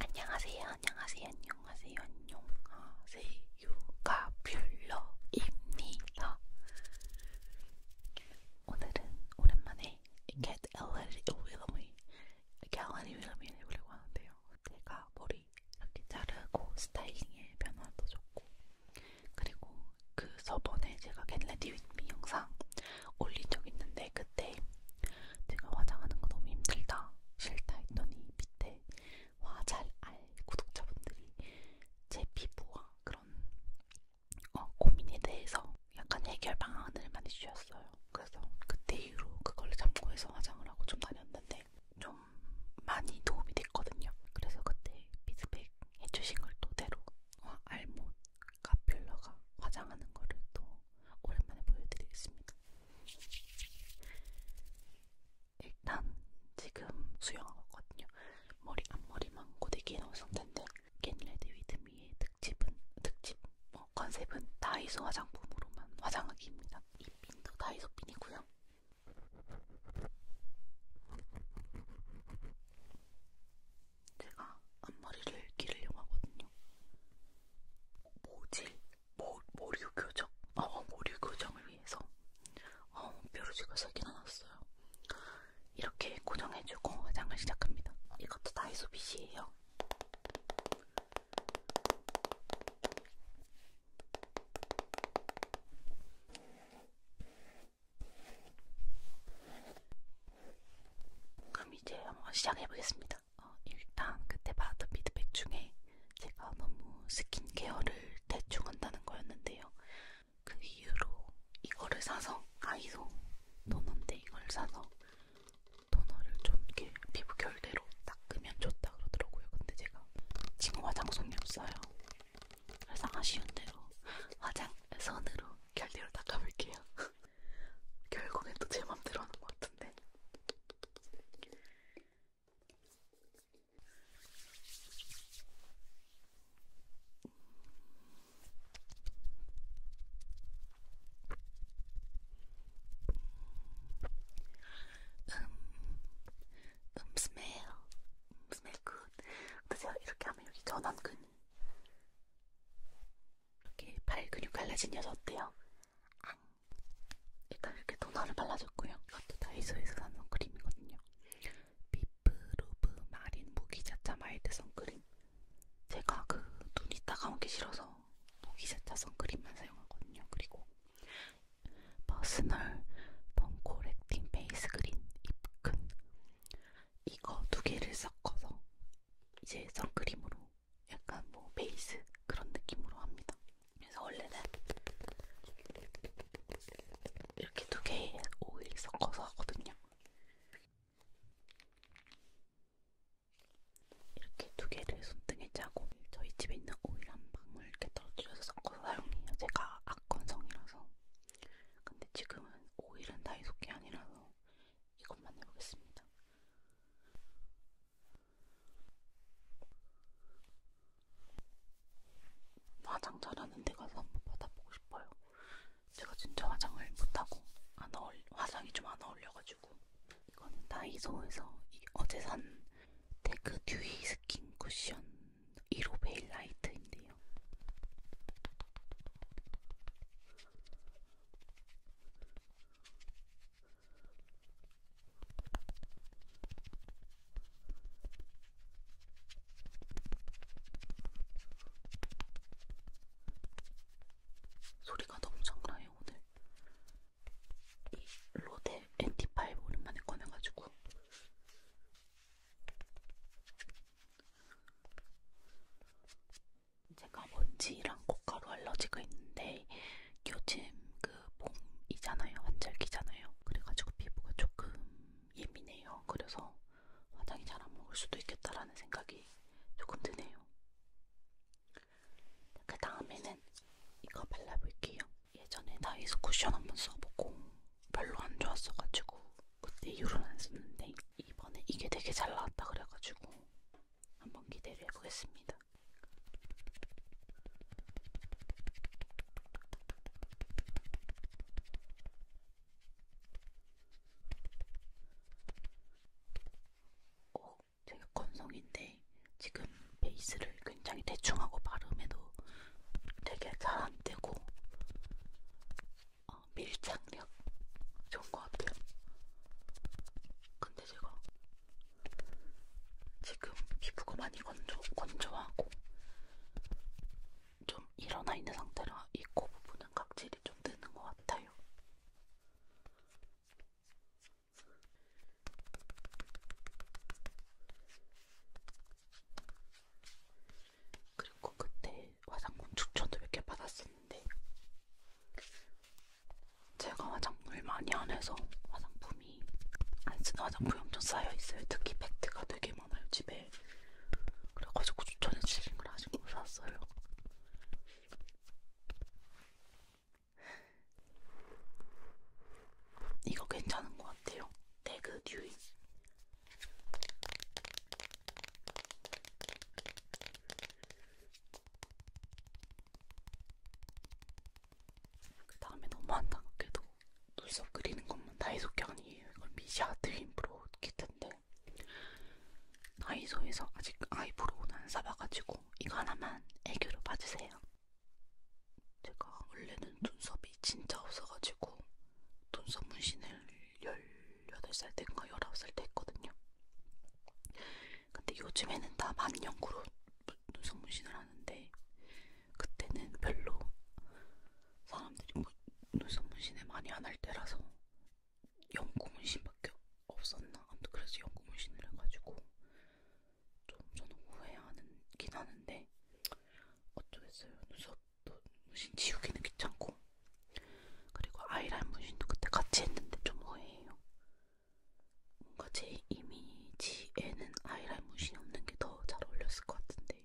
안녕하세요, 안녕하세요, 안녕하세요, 안녕하세요. 가뷸러입니다. 오늘은 오랜만에 겟 엘레리 윌럼이 갤러리 윌럼이 해보려고 하는데요. 제가 머리 이렇게 자르고 스타일링에 변화도 좋고 그리고 그 저번에 제가 겟 레디 윗미 영상 올린 적 있는데 그때 제가 화장하는 거 너무 힘들다 싫다 했더니 밑에 와잘알 구독자분들이 제 피부와 그런 어, 고민에 대해서 약간 해결 방안을 많이 주셨어요. 그래서 그때 이후로 그걸 참고해서 화장을 하고 좀 다녔는데 좀 많이 도움이 됐거든요. 그래서 그때 피드백 해주신 걸 토대로 와 어, 알못 카필러가 화장하는 거를 또 오랜만에 보여드리겠습니다. 일단 지금 수영하거든요. 머리 앞머리만 고데 기놓은 상태인데 겟레드 위드 미의 특집은 특집 어, 컨셉은 다이소 화장품으로만 화장하기입니다. 이 핀도 다이소 핀이고요. 제가 앞머리를 기르려고 하거든요. 모질, 모, 모류 교정, 어, 모류 교정을 위해서 어, 뾰루지가 3개나 났어요. 이렇게 고정해주고 화장을 시작합니다. 이것도 다이소 빗이에요. 그럼 이제 한번 시작해보겠습니다. 있습니다. 어, 일단 그때 받은 피드백 중에 제가 너무 스킨케어를 대충 한다는 거였는데요. 그 이후로 이거를 사서 아이소 토너인데 이걸 사서 토너를 좀 이렇게 피부 결대로 닦으면 좋다 그러더라고요. 근데 제가 지금 화장솜이 없어요. 그래서 아쉬운 대로 화장 손으로 결대로 닦아볼게요. 결국엔 또 제 맘대로 하는 것 같은데. 음, 음, 스멜, 음, 스멜 굿. 근데 제가 이렇게 하면 여기 전완근이 이렇게 팔 근육 갈라진 여자 어때요? 앙. 일단 이렇게 토너를 발라줬고요. 이것도 다이소에서 산 선크림이거든요. 비프루브 마린 무기자차 마일드 선크림. 제가 그 눈이 따가운 게 싫어서 무기자차 선크림만 사용하거든요. 그리고 퍼스널 덩코렉팅 베이스 그린 입큰 이거 두 개를 섞어서 이제 선크림으로 약간 뭐 베이스 그런 느낌으로 합니다. 그래서 원래는 이렇게 두 개의 오일 섞어서 하거든요. 이렇게 두 개를 손등에 짜고 저희 집에 있는 오일 한 방울 이렇게 떨어뜨려서 섞어서 사용해요. 제가 악건성이라서. 근데 지금은 오일은 다이소게 아니라서 이것만 해보겠습니다. 화장 잘하는 데 가서 한번 받아보고 싶어요. 제가 진짜 화장을 못하고 안 어울, 화장이 좀 안 어울려가지고 이거는 다이소에서 이, 어제 산 테크 듀이 스킨 쿠션 1호 베일 라이트인데요. 소리가 너무 장나요 오늘. 이 로데 엔티파이브 오랜만에 꺼내가지고. 제가 먼지랑 콧가루 알러지가 있는데 요즘 그 봄이잖아요. 환절기잖아요. 그래가지고 피부가 조금 예민해요. 그래서 화장이 잘 안 먹을 수도 있겠다라는 생각이 조금 드네요. 그 다음에는 이거 발라볼게요. 예전에 다이소 쿠션 한번 써보고 별로 안 좋았어가지고 그때 이후로는 안 썼는데 이번에 이게 되게 잘 나왔다 그래가지고 한번 기대를 해보겠습니다. 어, 되게 건성인데 지금 베이스를 굉장히 대충하고 발음해도 되게 잘 안 되고 어, 밀착력 좋은 것 같아요. 근데 제가 지금 피부가 많이 건조, 건조하고 좀 일어나 있는 상태라 이 코 부분은 각질이 좀 드는 것 같아요. 그리고 그때 화장품 추천도 몇 개 받았었는데 제가 화장품을 많이 안 해서 화장품이 안 쓰는 화장품이 엄청 쌓여있어요. 특히 팩트가 되게 많아요 집에. 그래가지고 추천해주신 걸 아직 못 샀어요. 이거 괜찮은 것 같아요. 데그 듀이 그 다음에 너무 안타깝게도 눈썹 그리는 것만 다이소게 아니에요. 이건 미샤 드림브로우 키트인데 다이소에서 아직 아이브로우는 안 사봐가지고 이거 하나만 애교로 봐주세요. 제가 원래는 눈썹이 진짜 없어가지고 눈썹 문신을 열 18살 때인가 19살 때 했거든요. 근데 요즘에는 다 만년구로 눈썹 문신을 하는데 그때는 별로 사람들이 뭐 눈썹 문신을 많이 안 할 때라서 연구 문신밖에 없었나 아무튼 그래서 연구 문신을 해가지고 좀 저는 후회하긴 하는데 어쩌겠어요 눈썹 또 문신 지우기는 귀찮고 그리고 아이라인 문신도 그때 같이 했는데 좀 후회해요. 뭔가 제 이미지에는 아이라인 문신이 없는 게 더 잘 어울렸을 것 같은데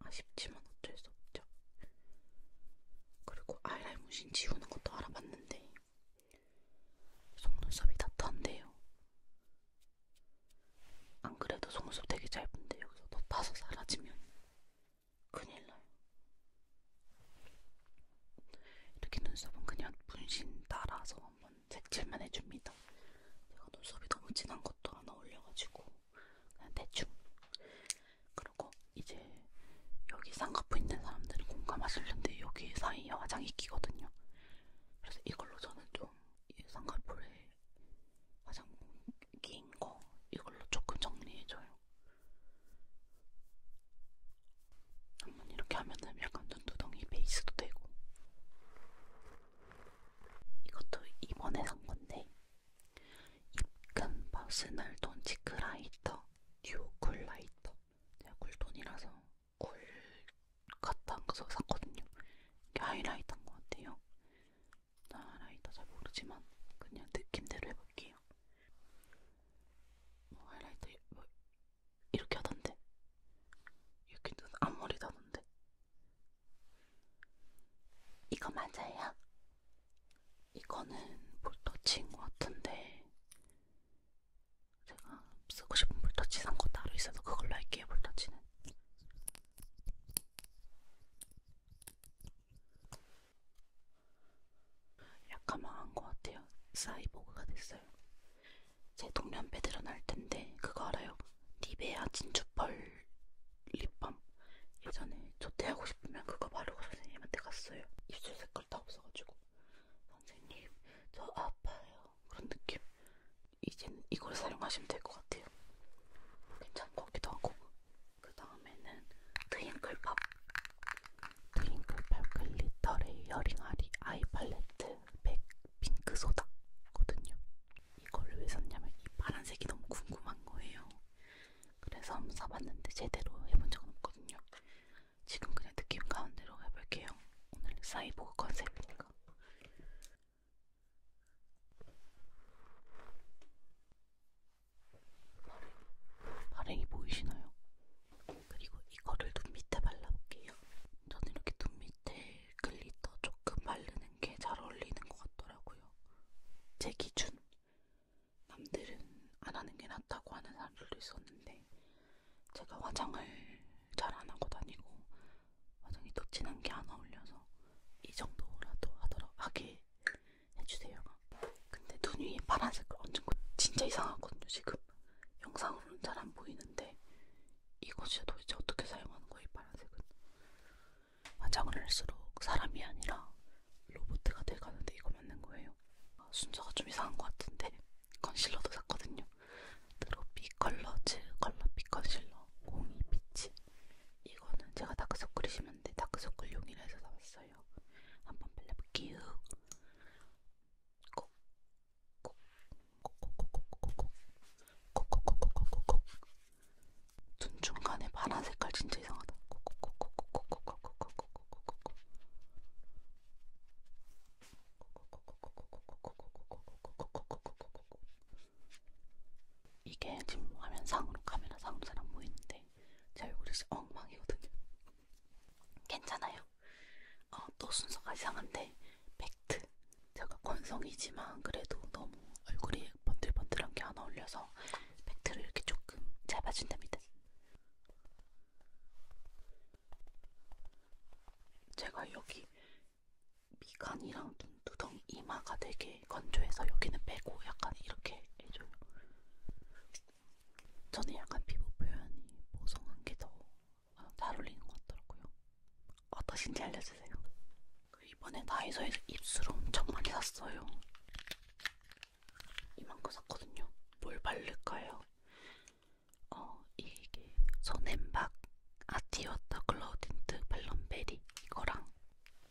아쉽지만 어쩔 수 없죠. 그리고 아이라인 문신 지우는 것도 알아봤는데 속눈썹이 다탄데요. 안 그래도 속눈썹 되게 짧은데 여기서 더 타서 사라지면 큰일 나요. 이렇게 눈썹은 그냥 분신 따라서 한번 색칠만 해줍니다. 제가 눈썹이 너무 진한 것도 하나 올려가지고 그냥 대충. 그리고 이제 여기 쌍꺼풀 있는 사람들은 공감하실 텐데 여기 사이에 화장이 끼거든요. 그래서 이걸로 저는 좀 쌍꺼풀에 가장 긴거 이걸로 조금 정리해줘요. 한번 이렇게 하면은 약간 눈두덩이 베이스도 되고 이것도 이번에 산 건데 입금 퍼스널 톤 치크라이터 듀오 쿨라이터 제가 쿨톤이라서 쿨 같은 거서 샀거든요. 이게 하이라이트인 것 같아요. 하이라이터 잘 모르지만 그냥 느낌대로 해볼게요. 뭐 하이라이터 뭐 이렇게 하던데 이렇게 눈 앞머리 다던데 이거 맞아요? 이거는 볼터치인 것 같은데 제가 쓰고 싶은 볼터치 산 거 따로 있어서 그걸로 할게요 볼터치는 약간 망한 것 같아요. 사이보그가 됐어요. 제 동년배 드러날 텐데 그거 알아요? 니베아 진주펄 립밤. 예전에 조퇴하고 싶으면 그거 바르고 선생님한테 갔어요. 입술 색깔 다 없어가지고 선생님 저 아파요 그런 느낌. 이제는 이걸 사용하시면 될 것 같아요. 괜찮은 것 같기도 하고 그 다음에는 트윙클팝 트윙클팝 글리터레이 여링아리 아이 팔레트 맥 핑크 소다거든요. 이거를 왜 샀냐면 이 파란색이 너무 궁금한 거예요. 그래서 한번 사봤는데 제대로 해본 적은 없거든요. 지금 그냥 느낌 가운데로 해볼게요. 오늘 사이보그 컨셉이니까. 발행이 보이시나요? 그리고 이거를 눈 밑에 발라볼게요. 저는 이렇게 눈 밑에 글리터 조금 바르는 게 잘 어울리는 것 같더라고요. 제 기준. 남들은 안 하는 게 낫다고 하는 사람들도 있었는데, 제가 화장을 잘 안 하고 다니고, 화장이 또 진한 게 안 어울려서 이 정도라도 하더라 하게 해주세요. 근데 눈 위에 파란색을 얹은 거 진짜 이상하거든요 지금. 영상으로는 잘 안 보이는데 이거 진짜 도대체 어떻게 사용하는 거예요 이 파란색은. 화장을 할수록 사람이 아니라 로봇가 돼가는데 이거 맞는 거예요. 아, 순서가 좀 이상한 것 같은데 컨실러도 샀거든요. 드로피 컬러즈 컬러빛 컨실러 02 피치 이거는 제가 다크서클이 심한데 다크서클 용이라서 나왔어요. 한번 발라볼게요. 눈 중간에 파란 색깔 진짜 이상하다. 이게 지금 화면 뭐 상으로 카메라 상으로 잘안 보이는데 제 얼굴이 엉망이거든요. 괜찮아요. 어, 또 순서가 이상한데 팩트. 제가 건성이지만 그래도 너무 얼굴이 번들번들한 게 안 어울려서 팩트를 이렇게 조금 잡아준답니다. 제가 여기 미간이랑 눈두덩 이마가 되게 건조해서 여기는 빼고 약간 이렇게 해줘요. 저는 약간 피부 표현이 보송한 게 더 잘 어울리는 것 같더라고요. 어떠신지 알려주세요. 그 이번에 다이소에서 입술 엄청 많이 샀어요. 이만큼 샀거든요. 뭘 바를까요? 어, 이게 소냄박 아티워터 글로우 틴트 발럼베리 이거랑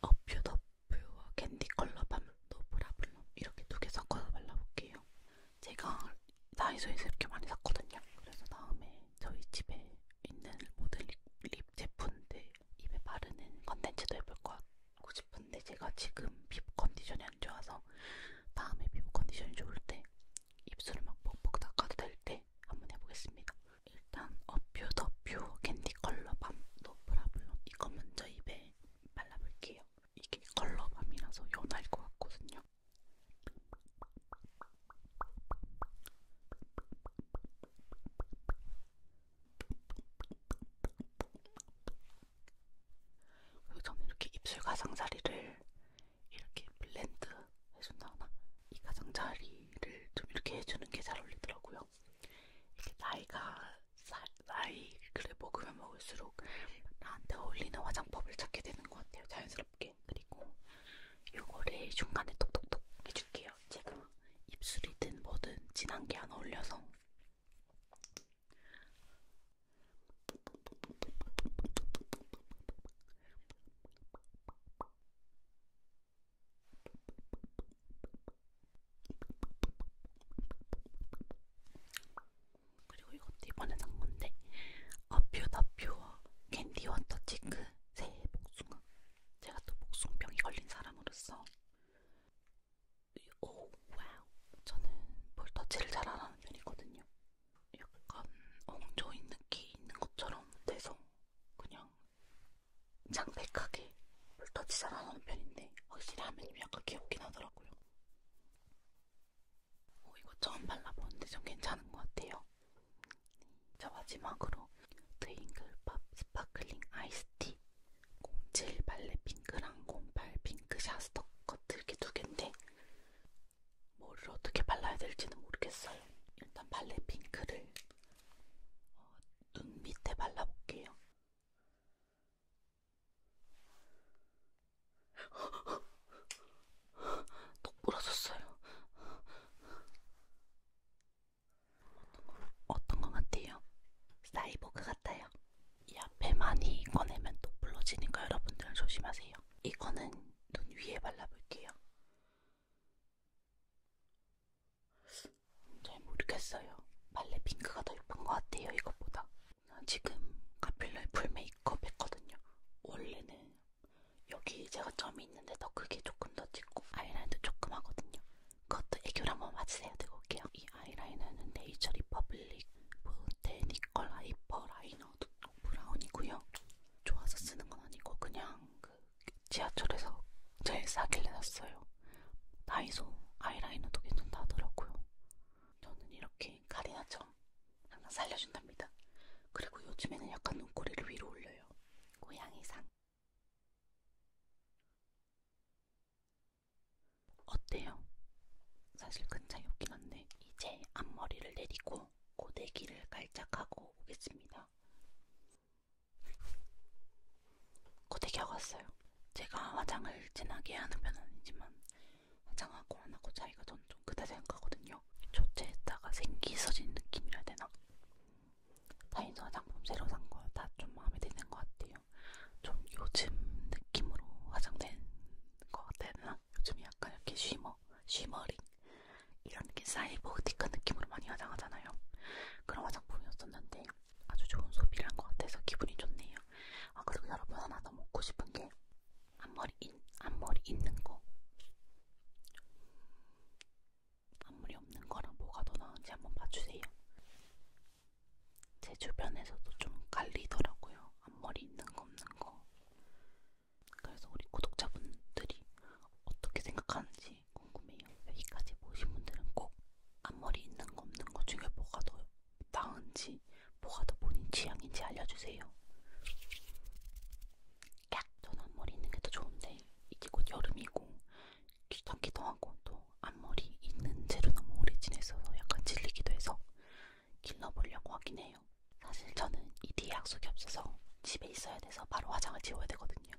어퓨더퓨와 캔디컬러 밤도 브라블럼 이렇게 두 개 섞어서 발라볼게요. 제가 다이소에서 이렇게 많이 샀거든요. 그래서 다음에 저희 집에 있는 모든 립, 립 제품들 입에 바르는 컨텐츠도 해볼 것 같고 싶은데 제가 지금 피부 컨디션이 안 좋아서 다음에 피부 컨디션이 좋을 때 입술을 막 벅벅 닦아도 될때 있는데 한번 해보겠습니다. 일단 어퓨 더퓨 캔디 컬러밤 노브라블럼 이거 먼저 입에 발라볼게요. 이게 컬러밤이라서 연할 것 같거든요. 그리고 저는 이렇게 입술 가장자리를 이렇게 블렌드 해준다거나 이 가장자리 머리를 좀 이렇게 해주는 게 잘 어울리더라고요. 이렇게 나이가 사, 나이를 먹으면 먹을수록 나한테 어울리는 화장법을 찾게 되는 것 같아요. 자연스럽게. 그리고 요거를 중간에 톡톡톡 해줄게요. 제가 입술이든 뭐든 진한 게안 어울려서 그리고 이것도 이번에 산 건데 아퓨다퓨어 캔디 워터 치크 새해 복숭아 제가 또 복숭병이 걸린 사람으로서 오 와우 저는 볼 터치를 잘 안하는 편이거든요 약간 엉조인 느낌 있는 것처럼 돼서 그냥 장백하게 물터치 잘하는 편인데 확실히 하면님 약간 귀엽긴 하더라고요. 어, 이거 처음 발라보는데 좀 괜찮은 것 같아요. 자 마지막으로 트윙글팝 스파클링 아이스티 07 발레 핑크랑 08 핑크 샤스터 커트 이렇게 두 개인데 뭐를 어떻게 발라야 될지는 모르겠어요. 일단 발레 핑크를 어, 눈 밑에 발라볼게요. 똑 부러졌어요. 어떤 것 같아요? 사이보그 같아요. 이 앞에 많이 꺼내면 똑 부러지니까 여러분들 조심하세요. 이거는 눈 위에 발라볼게요. 잘 모르겠어요. 말레 핑크가 더 예쁜 것 같아요. 이것보다. 지금 카필러의 풀 메이크업 했거든요. 원래는 여기 제가 점이 있는데 더 크게 조금 더 찍고 아이라인도 조금 하거든요. 그것도 애교를 한번 맞으세요. 들고 올게요. 이 아이라이너는 네이처 리퍼블릭 보테니컬 하이퍼 라이너 브라운이고요. 좋아서 쓰는 건 아니고 그냥 그 지하철에서 제일 싸길래 샀어요. 다이소 아이라이너도 괜찮다 하더라고요. 저는 이렇게 가리나점 항상 살려준답니다. 그리고 요즘에는 약간 눈꼬리를 위로 올려요. 고양이상. 어때요? 사실 큰 차이 없긴 한데 이제 앞머리를 내리고 고데기를 깔짝하고 오겠습니다. 고데기하고 왔어요. 제가 화장을 진하게 하는 편은 아니지만 화장하고 안 하고 차이가 전좀 크다 생각하거든요. 조체에다가 생기 있어진 느낌이라 되나? 다인소 화장품 새로 산 거 다 좀 마음에 드는 것 같아요. 좀 요즘 느낌으로 화장된 것 같아야 되나? 요즘 약간 이렇게 쉬머 쉬머링 이런 게 사이보틱한 느낌으로 많이 화장하잖아요. 그런 화장품이었었는데 아주 좋은 소비를 한 것 같아서 기분이 좋네요. 아 그리고 여러분 하나 더 먹고 싶은 게 앞머리 인, 앞머리 있는 거. 앞머리 없는 거랑 뭐가 더 나은지 한번 봐주세요. 제 주변에서도 좀 갈리더라고요. 앞머리 있는 거 없는 거. 그래서 우리 구독자분들이 어떻게 생각하는지 궁금해요. 여기까지 보신 분들은 꼭 앞머리 있는 거 없는 거 중에 뭐가 더 나은지 뭐가 더 본인 취향인지 알려주세요. 깍! 저는 앞머리 있는 게 더 좋은데 이제 곧 여름이고 귀찮기도 하고 또 앞머리 있는 채로 너무 오래 지내서 약간 질리기도 해서 길러보려고 하긴 해요. 해요. 사실 저는 이 뒤에 약속이 없어서 집에 있어야 돼서 바로 화장을 지워야 되거든요.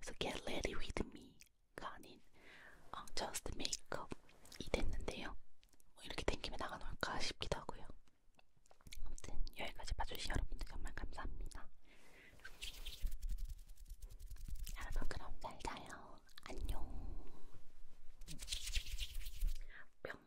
그래서 get ready with me가 아닌 어, just makeup이 됐는데요. 뭐 이렇게 땡기면 나가놓을까 싶기도 하고요. 아무튼 여기까지 봐주신 여러분들 정말 감사합니다. 여러분 그럼 잘 자요. 안녕. 뿅.